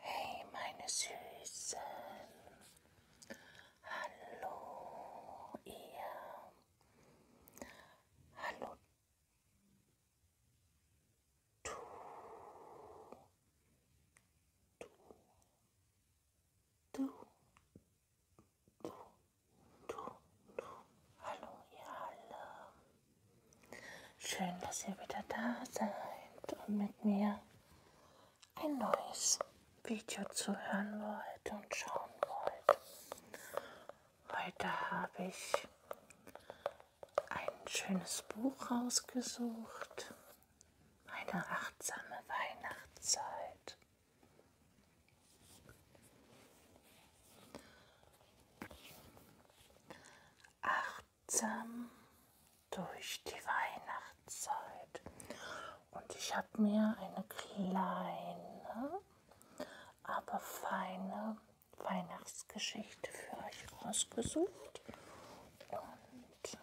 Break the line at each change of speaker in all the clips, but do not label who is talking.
Hey meine Süßen, hallo ihr, hallo du, du, du, du, du, du, hallo ihr alle. Schön, dass ihr wieder da seid und mit mir ein neues Video zuhören wollt und schauen wollt. Heute habe ich ein schönes Buch rausgesucht. Eine achtsame Weihnachtszeit. Acht achtsam durch die Weihnachtszeit. Und ich habe mir eine kleine, aber feine Weihnachtsgeschichte für euch rausgesucht und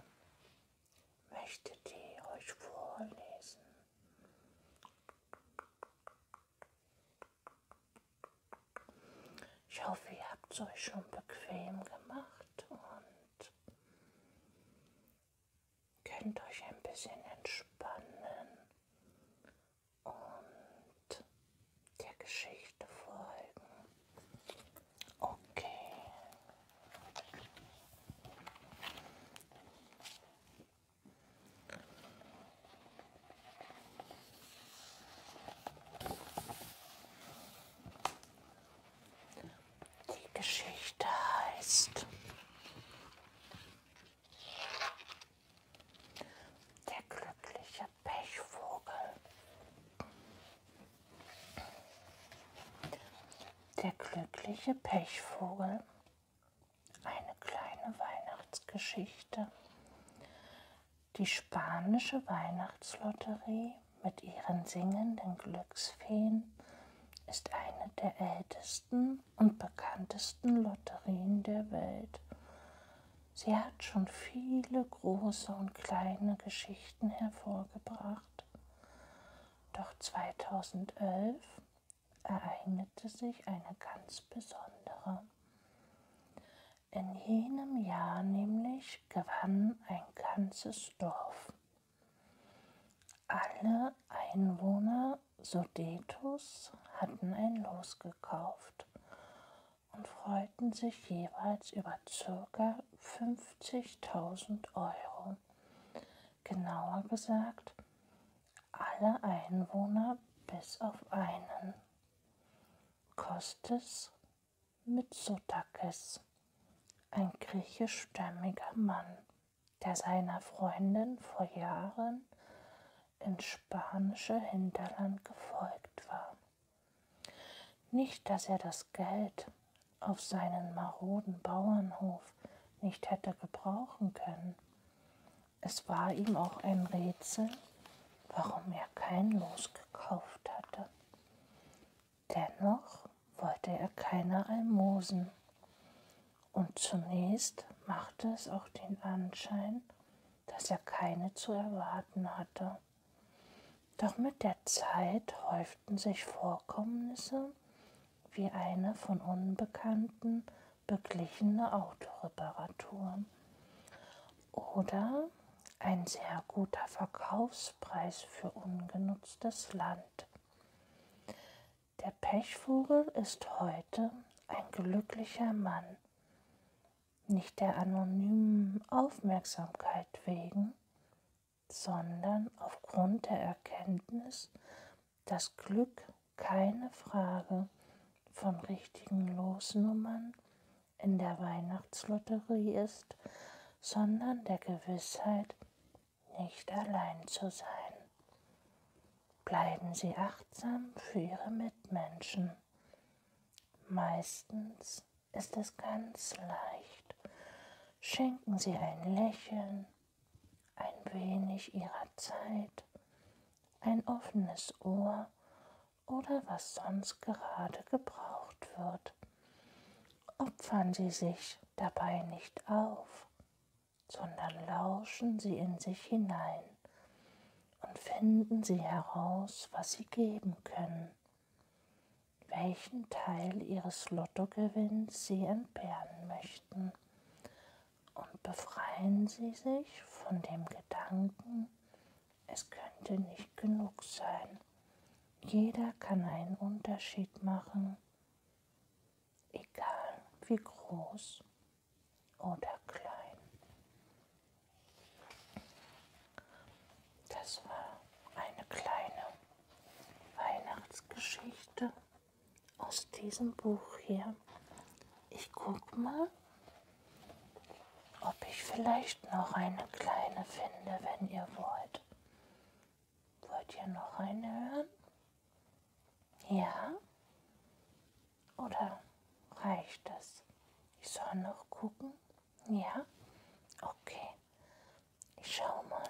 möchte die euch vorlesen. Ich hoffe, ihr habt es euch schon bequem gemacht und könnt euch ein bisschen entspannen und der Geschichte folgen. Okay. Die Geschichte heißt Der glückliche Pechvogel. Der glückliche Pechvogel. Eine kleine Weihnachtsgeschichte die spanische Weihnachtslotterie mit ihren singenden Glücksfeen ist eine der ältesten und bekanntesten Lotterien der Welt. Sie hat schon viele große und kleine Geschichten hervorgebracht. Doch 2011 ereignete sich eine ganz besondere. In jenem Jahr nämlich gewann ein ganzes Dorf. Alle Einwohner Sudetus hatten ein Los gekauft und freuten sich jeweils über ca. 50.000 Euro. Genauer gesagt, alle Einwohner bis auf einen. Kostes Mitsotakis, ein griechischstämmiger Mann, der seiner Freundin vor Jahren ins spanische Hinterland gefolgt war. Nicht, dass er das Geld auf seinen maroden Bauernhof nicht hätte gebrauchen können. Es war ihm auch ein Rätsel, warum er kein Los gekauft hatte. Dennoch wollte er keine Almosen. Und zunächst machte es auch den Anschein, dass er keine zu erwarten hatte. Doch mit der Zeit häuften sich Vorkommnisse wie eine von Unbekannten beglichene Autoreparatur oder ein sehr guter Verkaufspreis für ungenutztes Land. Der Pechvogel ist heute ein glücklicher Mann, nicht der anonymen Aufmerksamkeit wegen, sondern aufgrund der Erkenntnis, dass Glück keine Frage von richtigen Losnummern, in der Weihnachtslotterie ist, sondern der Gewissheit, nicht allein zu sein. Bleiben Sie achtsam für Ihre Mitmenschen. Meistens ist es ganz leicht. Schenken Sie ein Lächeln, ein wenig Ihrer Zeit, ein offenes Ohr oder was sonst gerade gebraucht wird. Opfern Sie sich dabei nicht auf, sondern lauschen Sie in sich hinein und finden Sie heraus, was Sie geben können, welchen Teil Ihres Lottogewinns Sie entbehren möchten und befreien Sie sich von dem Gedanken, es könnte nicht genug sein. Jeder kann einen Unterschied machen, egal wie groß oder klein. Das war eine kleine Weihnachtsgeschichte aus diesem Buch hier. Ich guck mal, ob ich vielleicht noch eine kleine finde, wenn ihr wollt. Wollt ihr noch eine hören? Ja? Oder reicht das? Ich soll noch gucken? Ja? Okay. Ich schau mal.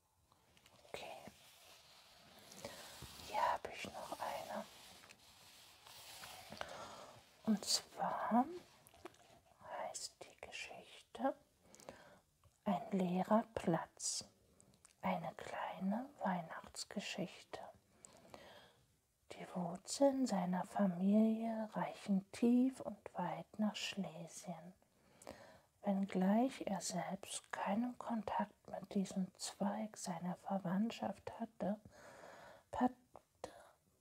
Okay. Hier habe ich noch eine. Und zwar heißt die Geschichte Ein leerer Platz. Eine kleine Weihnachtsgeschichte. Die Wurzeln seiner Familie reichen tief und weit nach Schlesien wenngleich er selbst keinen Kontakt mit diesem Zweig seiner Verwandtschaft hatte, packte,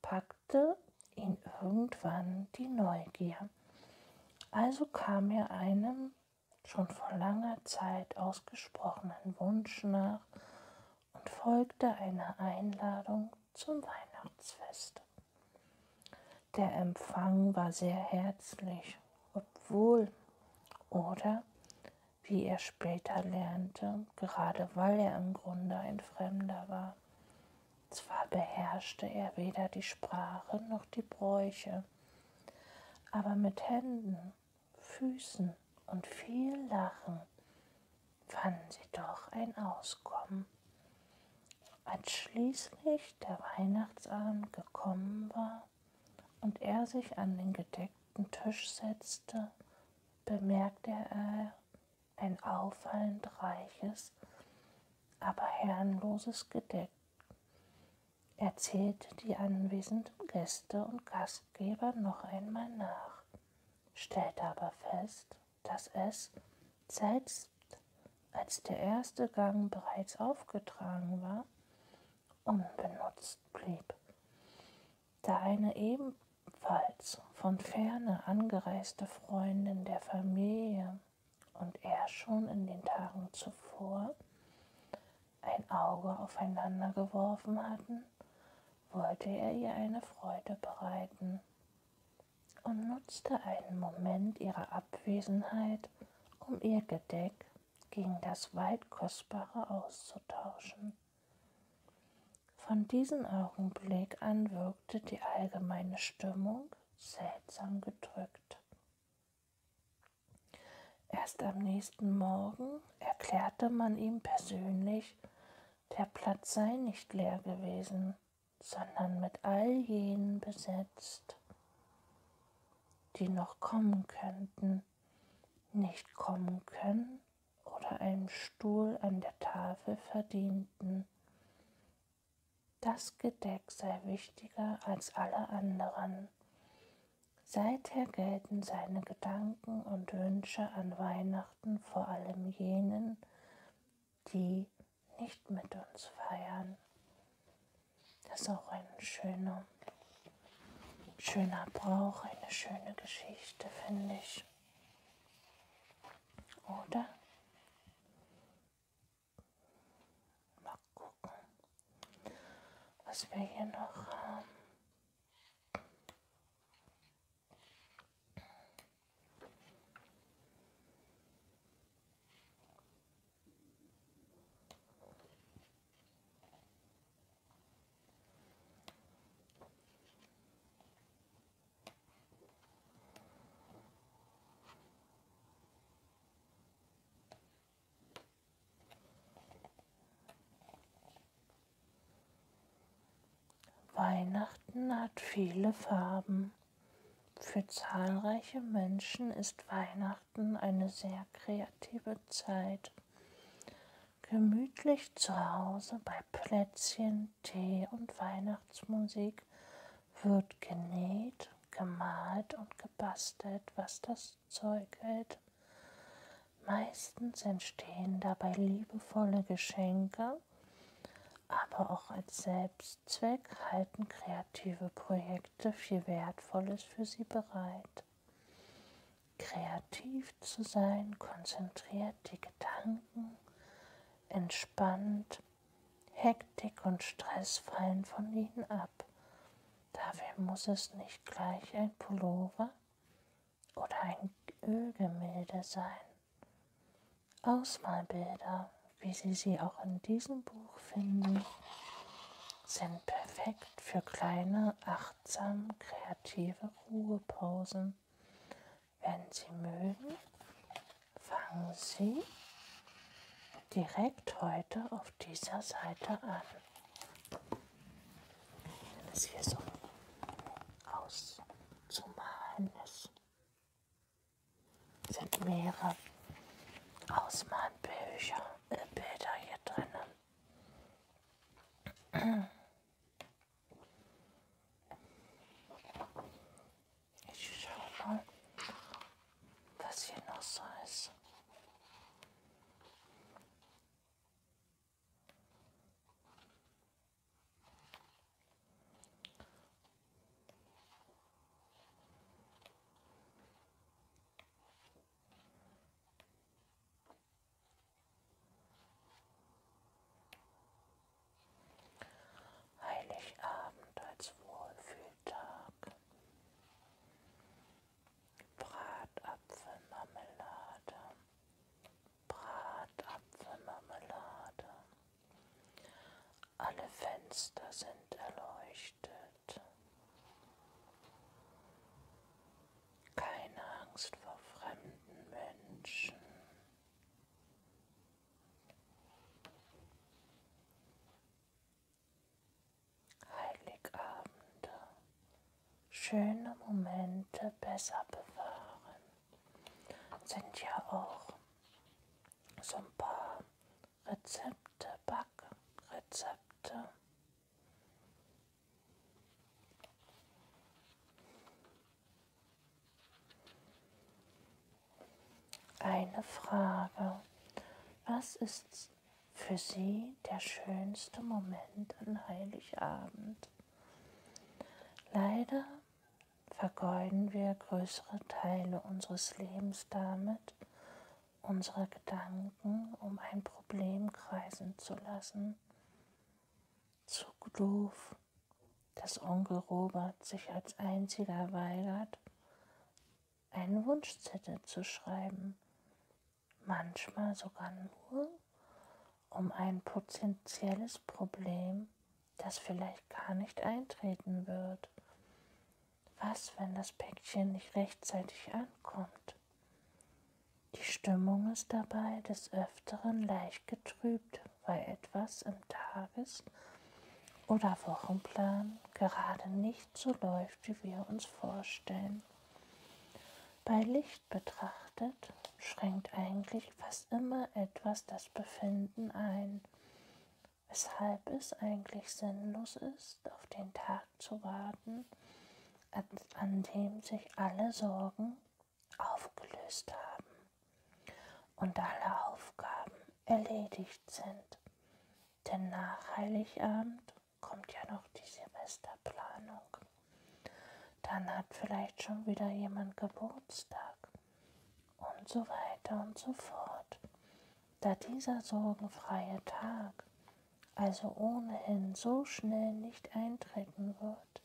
packte ihn irgendwann die Neugier. Also kam er einem schon vor langer Zeit ausgesprochenen Wunsch nach und folgte einer Einladung zum Weihnachtsfest. Der Empfang war sehr herzlich, obwohl oder, wie er später lernte, gerade weil er im Grunde ein Fremder war. Zwar beherrschte er weder die Sprache noch die Bräuche, aber mit Händen, Füßen und viel Lachen fanden sie doch ein Auskommen. Als schließlich der Weihnachtsabend gekommen war, und er sich an den gedeckten Tisch setzte, bemerkte er ein auffallend reiches, aber herrenloses Gedeck. Er zählte die anwesenden Gäste und Gastgeber noch einmal nach, stellte aber fest, dass es, selbst als der erste Gang bereits aufgetragen war, unbenutzt blieb, da eine ebenfalls von ferne angereiste Freundin der Familie und er schon in den Tagen zuvor ein Auge aufeinander geworfen hatten, wollte er ihr eine Freude bereiten und nutzte einen Moment ihrer Abwesenheit, um ihr Gedeck gegen das weit kostbare auszutauschen. Von diesem Augenblick an wirkte die allgemeine Stimmung seltsam gedrückt. Erst am nächsten Morgen erklärte man ihm persönlich, der Platz sei nicht leer gewesen, sondern mit all jenen besetzt die noch kommen könnten, nicht kommen können oder einen Stuhl an der Tafel verdienten. Das Gedeck sei wichtiger als alle anderen. Seither gelten seine Gedanken und Wünsche an Weihnachten vor allem jenen, die nicht mit uns feiern. Das ist auch ein schöner, schöner Brauch, eine schöne Geschichte, finde ich. Oder? Mal gucken, was wir hier noch haben. Weihnachten hat viele Farben. Für zahlreiche Menschen ist Weihnachten Weihnachten eine sehr kreative Zeit. Gemütlich zu Hause bei Plätzchen, Tee und Weihnachtsmusik wird genäht, gemalt und gebastelt, was das Zeug hält. Meistens entstehen dabei liebevolle Geschenke, aber auch als Selbstzweck halten kreative Projekte legte viel Wertvolles für sie bereit. Kreativ zu sein, konzentriert die Gedanken, entspannt, Hektik und Stress fallen von ihnen ab. Dafür muss es nicht gleich ein Pullover oder ein Ölgemälde sein. Ausmalbilder, wie Sie sie auch in diesem Buch finden, sind perfekt für kleine, achtsam kreative Ruhepausen. Wenn Sie mögen, fangen Sie direkt heute auf dieser Seite an. Wenn es hier so auszumalen ist, sind mehrere Ausmalbücher. Bilder hier drinnen. Ich schaue mal, was hier noch so ist. Heiligabend als Wohlfühltag. Bratapfelmarmelade. Bratapfelmarmelade. Alle Fenster sind erleuchtet. Keine Angst vor fremden Menschen. Heiligabende, schöne Momente besser bewahren, sind ja auch so ein paar Rezepte, Backrezepte. Eine Frage. Was ist für Sie der schönste Moment an Heiligabend? Leider vergeuden wir größere Teile unseres Lebens damit, unsere Gedanken um ein Problem kreisen zu lassen, zu doof, dass Onkel Robert sich als einziger weigert, einen Wunschzettel zu schreiben, manchmal sogar nur, um ein potenzielles Problem, das vielleicht gar nicht eintreten wird, was, wenn das Päckchen nicht rechtzeitig ankommt? Die Stimmung ist dabei des Öfteren leicht getrübt, weil etwas im Tages- oder Wochenplan gerade nicht so läuft, wie wir uns vorstellen. Bei Licht betrachtet schränkt eigentlich fast immer etwas das Befinden ein, weshalb es eigentlich sinnlos ist, auf den Tag zu warten, an dem sich alle Sorgen aufgelöst haben und alle Aufgaben erledigt sind. Denn nach Heiligabend kommt ja noch die Silvesterplanung. Dann hat vielleicht schon wieder jemand Geburtstag und so weiter und so fort da dieser sorgenfreie Tag also ohnehin so schnell nicht eintreten wird,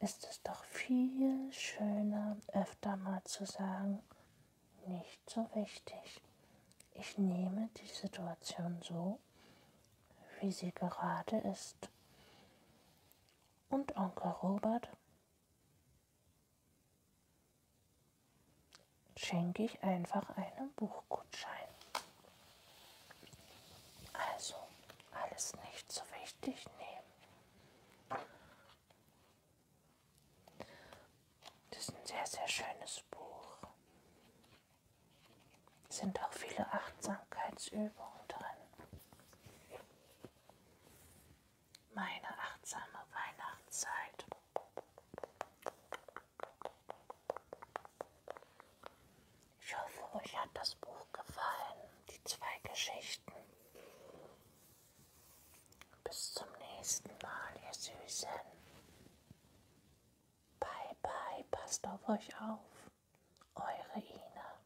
ist es doch viel schöner, öfter mal zu sagen, nicht so wichtig. Ich nehme die Situation so, wie sie gerade ist. Und Onkel Robert schenke ich einfach einen Buchgutschein. Also alles nicht so wichtig nehmen. Das ist ein sehr, sehr schönes Buch. Es sind auch viele Achtsamkeitsübungen drin. Meine achtsame Weihnachtszeit. Ich hoffe, euch hat das Buch gefallen, die zwei Geschichten. Bis zum nächsten Mal, ihr Süßen. Bye, bye, passt auf euch auf. Eure Ina.